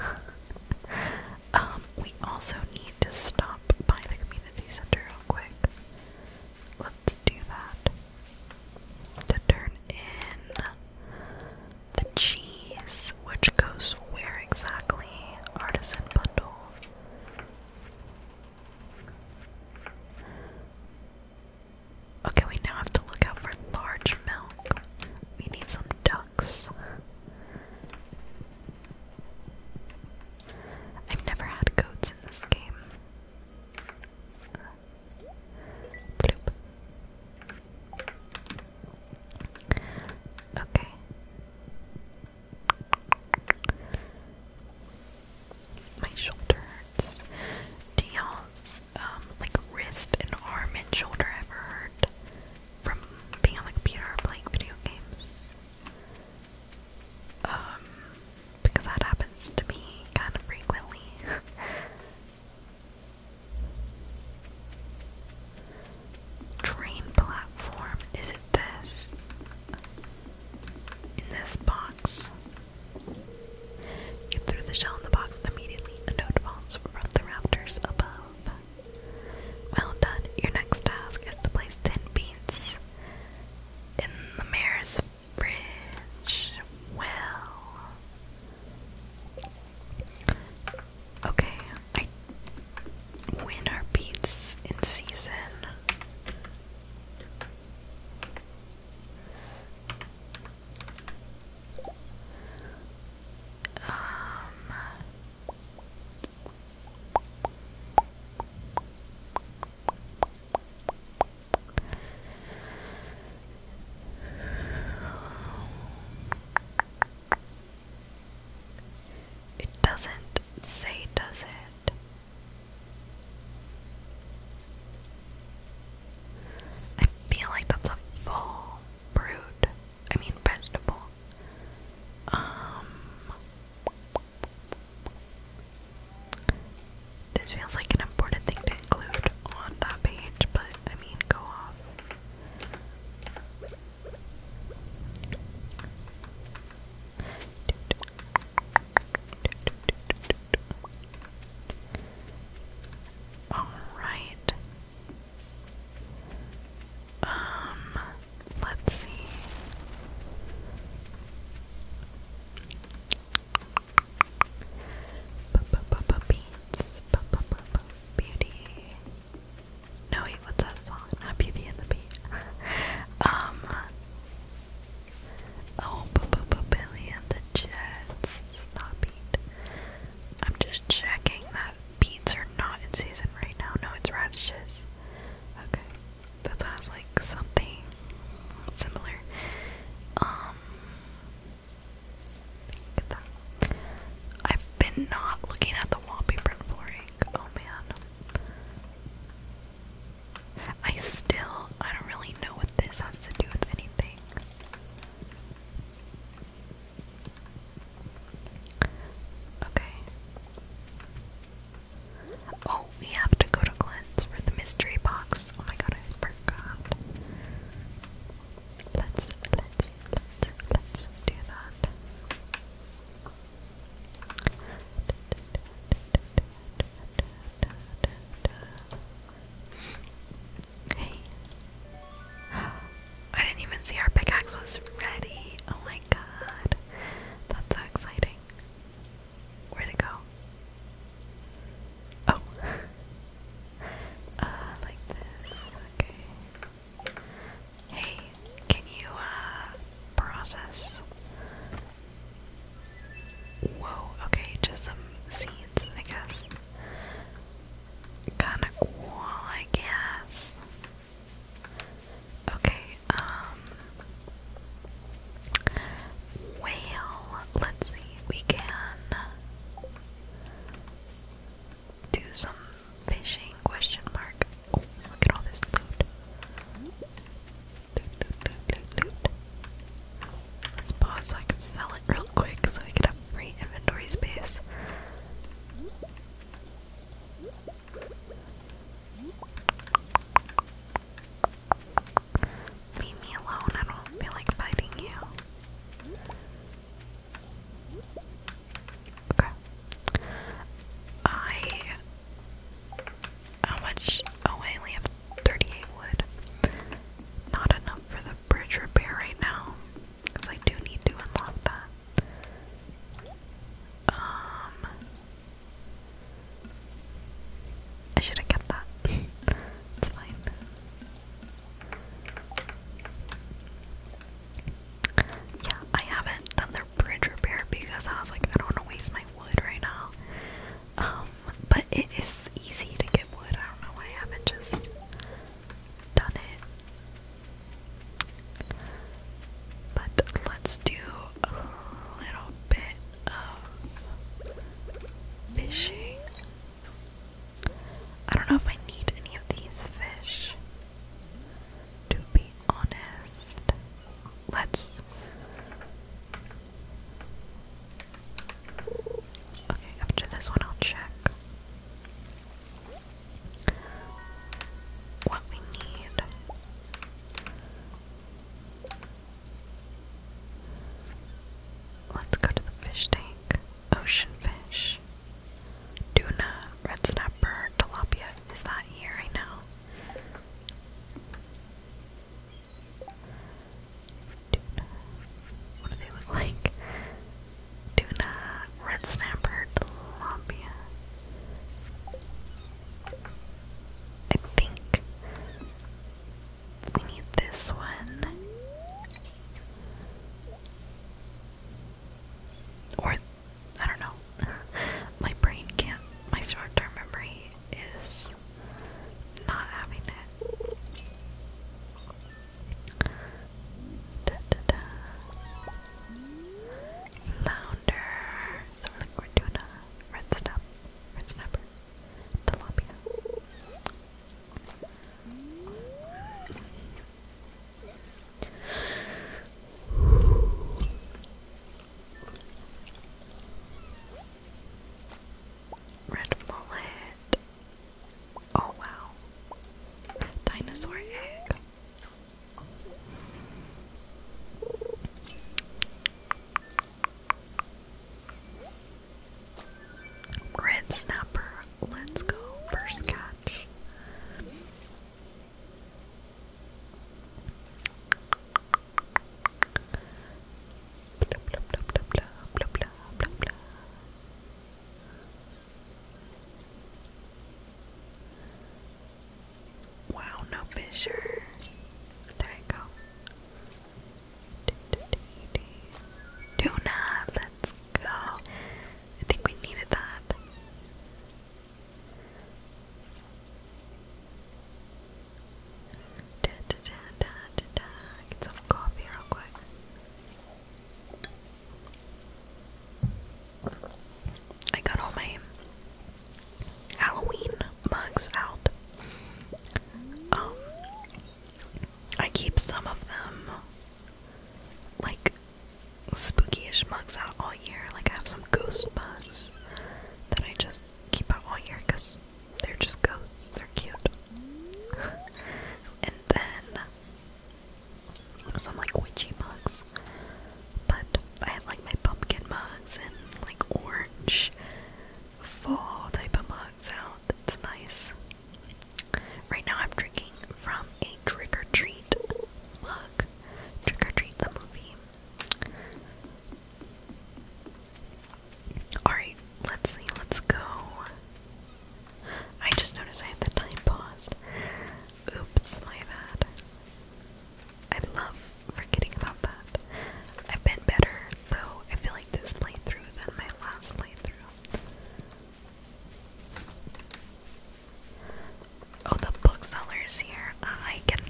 Um, we also need to stop by the community center real quick. Let's do that. To turn in the cheese, which goes where exactly? Artisan bundle. Okay, we now have to look out for large milk. We need some ducks. I've never had goats in this game. Okay my shoulder hurts. Do um, like wrist and arm and shoulder ever hurt from being on the computer or playing video games? Um, because that happens to me kind of frequently. <laughs> Train platform, is it this? In this box? You threw the shell in the box immediately, a note bounced from the raptors above. Well done. Your next task is to place ten beans in the mayor's fridge. Well. Okay, I win our beats in season it doesn't say, does it? I feel like that's a fall fruit. I mean vegetable. Um This feels like an important thing to include on that page, but I mean go off. Alright. Um, let's see. B beats. B beauty. No, wait, what's that song? Not Beauty and the Beat. <laughs> um, Oh, b -b Billy and the Jets. Not beat. I'm just checking that beans are not in season right now. No, it's radishes. Okay. That's why I was like something similar. Um get that. I've been not looking at the wallpaper and flooring. Oh man. I still, I don't really know what this has to do with anything. Okay. Oh, we have to go to Glenn's for the mystery box. Oh my god, I forgot. Let's, let's, let's, let's do that. Hey. I didn't even see our pickaxe was ready. Oh my god. That's so exciting. Where'd it go? Oh. Uh, like this. Okay. Hey, can you, uh, process Whoa, okay, just some seeds, I guess. Kinda cool, I guess. Okay, um. Well, let's see, we can do some fishing question mark. Oh, look at all this loot. Let's pause so I can sell it real quick so we can have free inventory space. Leave me alone, I don't feel like fighting you. Okay. I how much? Oh, I have 38 wood. Not enough for the bridge repair right now. Because I do need to unlock that. Um. I should have kept that. <laughs> it's fine. Yeah, I haven't done their bridge repair because I was like, I don't want to waste my wood right now. Um, but it is easy to get wood. I don't know why I haven't just done it. But let's do a little bit of fishing. I don't know if I need any of these fish. To be honest, let's Okay, after this one, I'll check what we need. Let's go to the fish tank. Ocean fish. Duna, red snapper, tilapia. Is that here right now? Tuna. What do they look like? Tuna, red snapper, tilapia. I think we need this one. Or, I don't know. <laughs> my brain can't, my short term memory is not having it. Da, So we're, doing a red snap, red snapper, tilapia. Red mullet. Oh wow. Dinosaur egg. Red snapper. Let's go. First catch. Blah, blah, blah, blah, blah, blah, blah, blah, Wow, no fissure. There you go. Tuna, let's go. I think we needed that. Get some coffee real quick. I got all my Halloween mugs out. Um, I keep some of them, like spookyish mugs, out all year. Like I have some ghost mugs that I just keep out all year because they're just ghosts. They're cute. <laughs> and then some like witchy mugs. But I have like my pumpkin mugs and like orange fall type of mugs out. It's nice. Right now I'm drinking from a trick or treat mug. Trick or treat the movie. Alright, let's see, let's go. I just noticed I had the time paused. Oops, my bad. I love forgetting about that. I've been better, though, I feel like this playthrough than my last playthrough. Oh, the bookseller's here. I can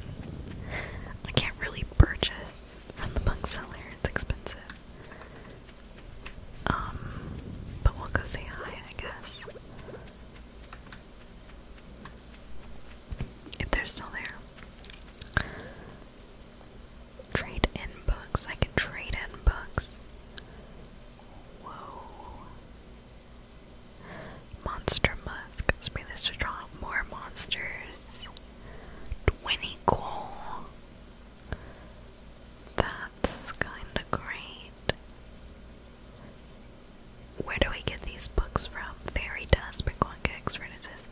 I can't really purchase from the bunk seller. It's expensive. Um, but we'll go say hi, I guess. If they're still there. Trade in books. I can trade in books. Whoa. Monster musk. Spray draw more monsters. Winnie Core. That's kinda great. Where do we get these books from? Fairy dust, Brickwanka experiences.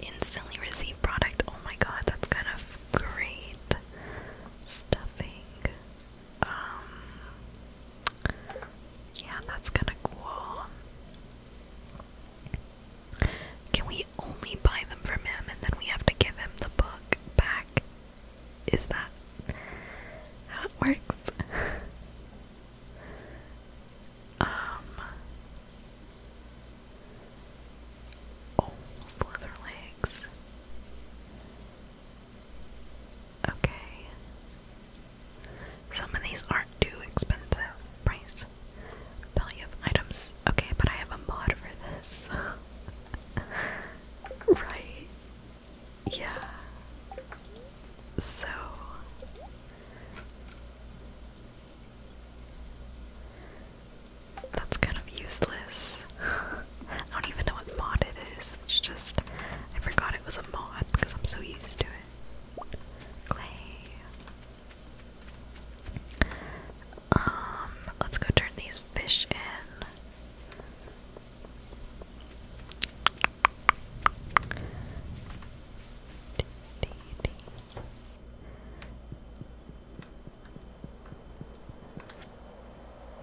Instantly receive product. Oh my god, that's kind of great. Stuffing. Um Yeah, that's kinda cool. Can we only buy them from him and then we have to give him the book back? Is that how it works? <laughs> um. Oh, slither Okay. Some of these aren't too expensive price Value items. Okay, but I have a mod for this. <laughs> right. Yeah. So that's kind of useless. <laughs> I don't even know what mod it is. It's just I forgot it was a mod because I'm so used to it. Clay. Um, let's go turn these fish in.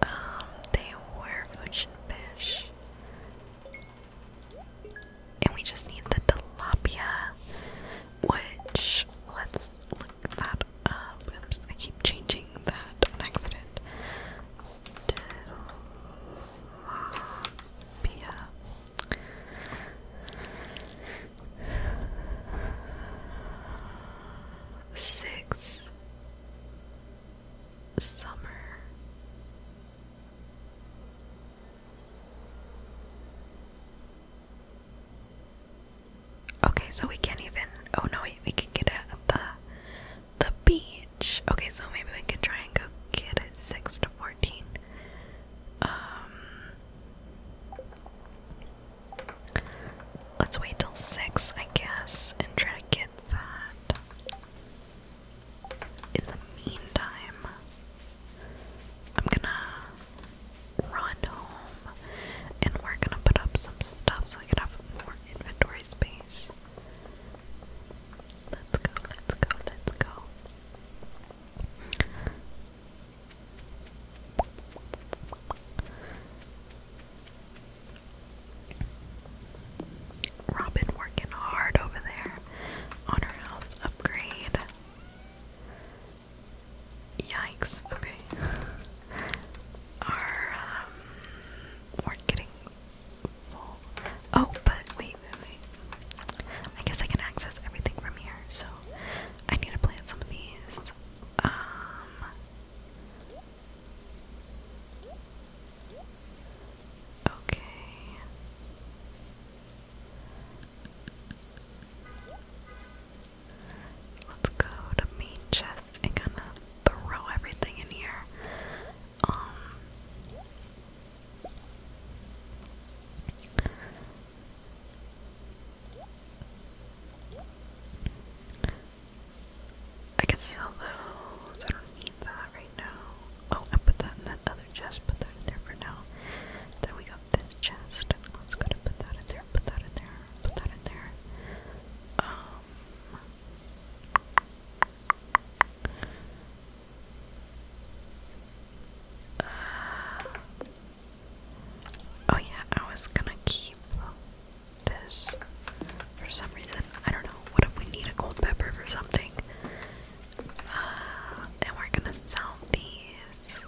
Um, they were fish. And we just need the tilapia which let's look that Oops, I keep changing that on accident. Tilapia. Six summer Okay, so we can't even. Oh no, we can get it at the the beach. Okay, so maybe we can try and go get it six to fourteen. Um, let's wait till six, I guess, and try to get that. In the meantime, I'm gonna run home and we're gonna put up some stuff so we can have more inventory space. Let's go, let's go, let's go. Robin working hard over there on her house upgrade. Yikes, okay. Our, um, Oh, but wait, wait, wait. I guess I can access everything from here, so I need to plant some of these. Um, okay. Let's go to main chest and kind of throw everything in here. Um, I can sell those. I don't need that right now. Oh, I put that in that other chest. Put that in there for now. Then we go this chest. Let's go to put that in there, put that in there, put that in there. Um, oh yeah, I was gonna keep this for some reason. I don't know. What if we need a gold pepper for something? Uh, we're gonna sell these.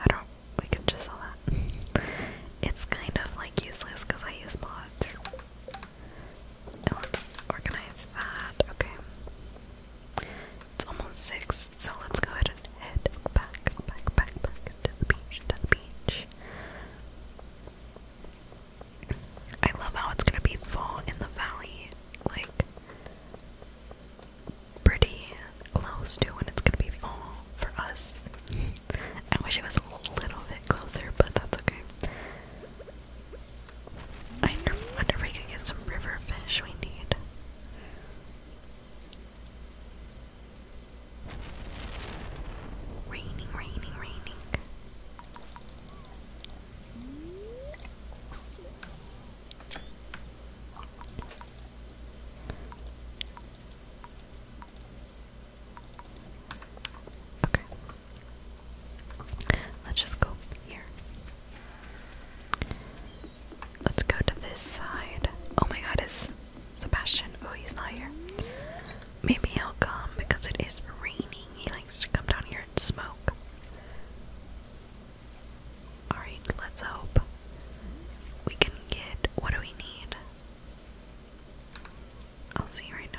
I don't. We can just sell that. <laughs> it's kind of like useless because I use mods. let's organize that. Okay. It's almost six, so let's go ahead and head back, back, back, back to the beach, to the beach. I love how it's gonna be fall in the valley. Like, pretty close to when it's gonna be fall for us. <laughs> I wish it was a little bit closer, but that's okay. I wonder if we could get some river fish we need. Raining, raining, raining. Okay. Let's just go here. Let's go to this side. Oh my god, is Sebastian. Oh, he's not here. Maybe he'll come because it is raining. He likes to come down here and smoke. Alright, let's hope we can get what do we need? I'll see right now.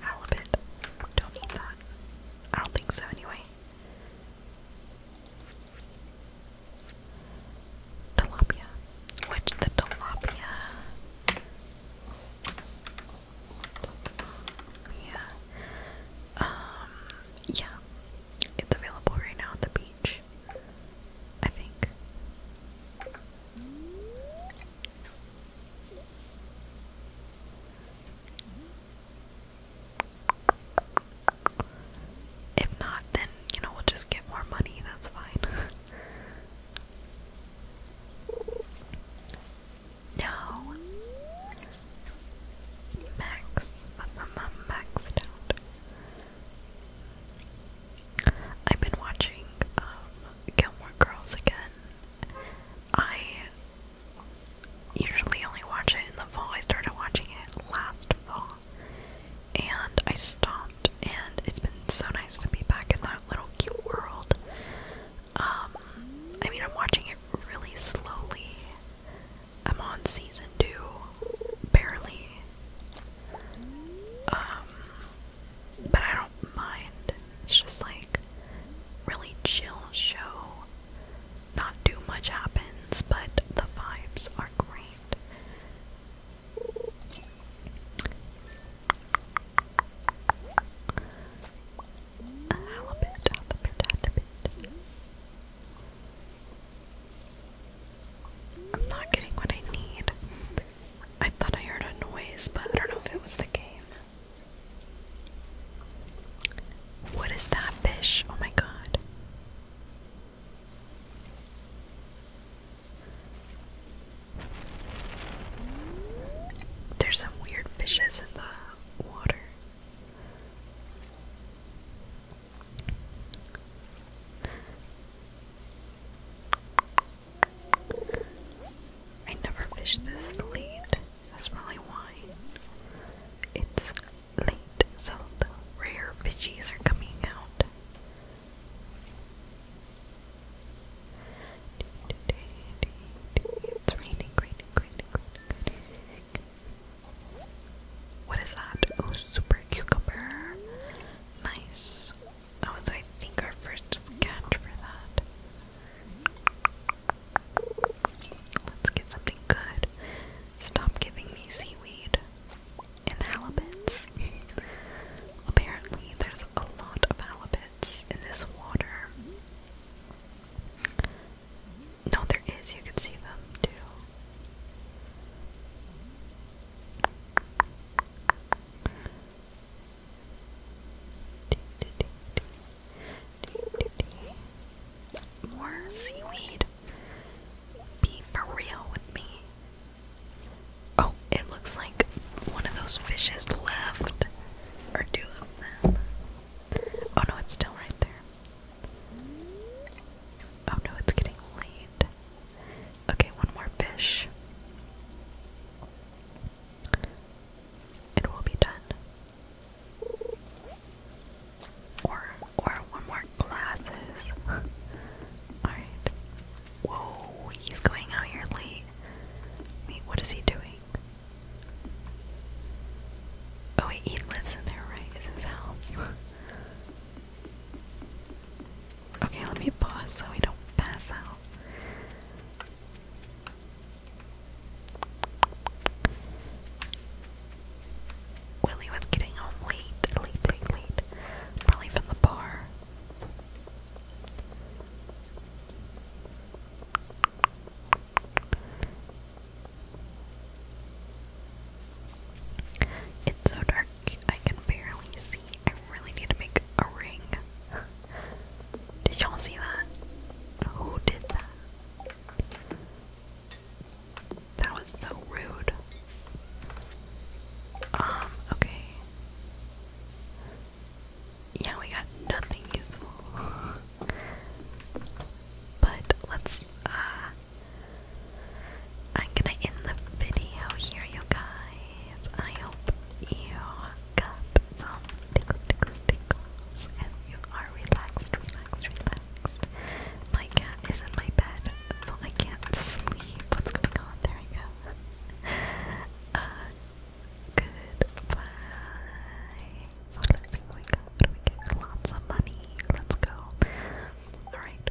Halibut. Don't need that. I don't think so anyway tilapia, which the tilapia, yeah, um, yeah, it's available right now at the beach, I think. If not, then you know we'll just get more money, that's fine. <laughs> no. Max. Maxed out. I've been watching um Gilmore Girls again. I usually only watch it in the fall. I started watching it last fall and I stopped, and it's been so nice to be back in that little cute world. Um, I mean, I'm watching it really slowly. I'm on season two, barely. Um, but I don't mind. It's just like really chill show. Not too much happens, but the vibes are great. I'm not getting what I need. I thought I heard a noise, but I don't know if it was the game. What is that fish? Oh my god. There's some weird fishes in the water. I never fished this late. That's probably why. It's late, so the rare fishies are coming out. It's raining, raining, raining, raining, What is that? Oh, super cucumber. Nice. That was, I think, our first catch for that. Let's get something good. Stop giving me seaweed and halibuts. <laughs> Apparently, there's a lot of halibuts in this water. No, there is, you can see them too. More seaweed. Be for real with me. Oh, it looks like one of those fishes left. Or two them. Oh no, it's still right there. Oh no, it's getting late. Okay, one more fish. It will be done. Or or one more glasses. <laughs> Alright. Whoa, he's going out here late. Wait, what is he doing? Oh he lives in there, right? It's his house. <laughs> okay, let me pause so we don't pass out. Willie was getting home late, late, late, late. Probably from the bar. It's so dark, I can barely see. I really need to make a ring. Did y'all see that? Who did that? That was so rude. Um, okay. Yeah, we got nothing useful. <laughs> but let's, uh, I'm gonna end the video here, you guys. I hope you got some tickles, tickles, tickles, and you are relaxed, relaxed, relaxed. My cat is in my bed, so I can't sleep. What's going on? There we go. Uh, goodbye. What do we we get? Lots of money. Let's go. Alright.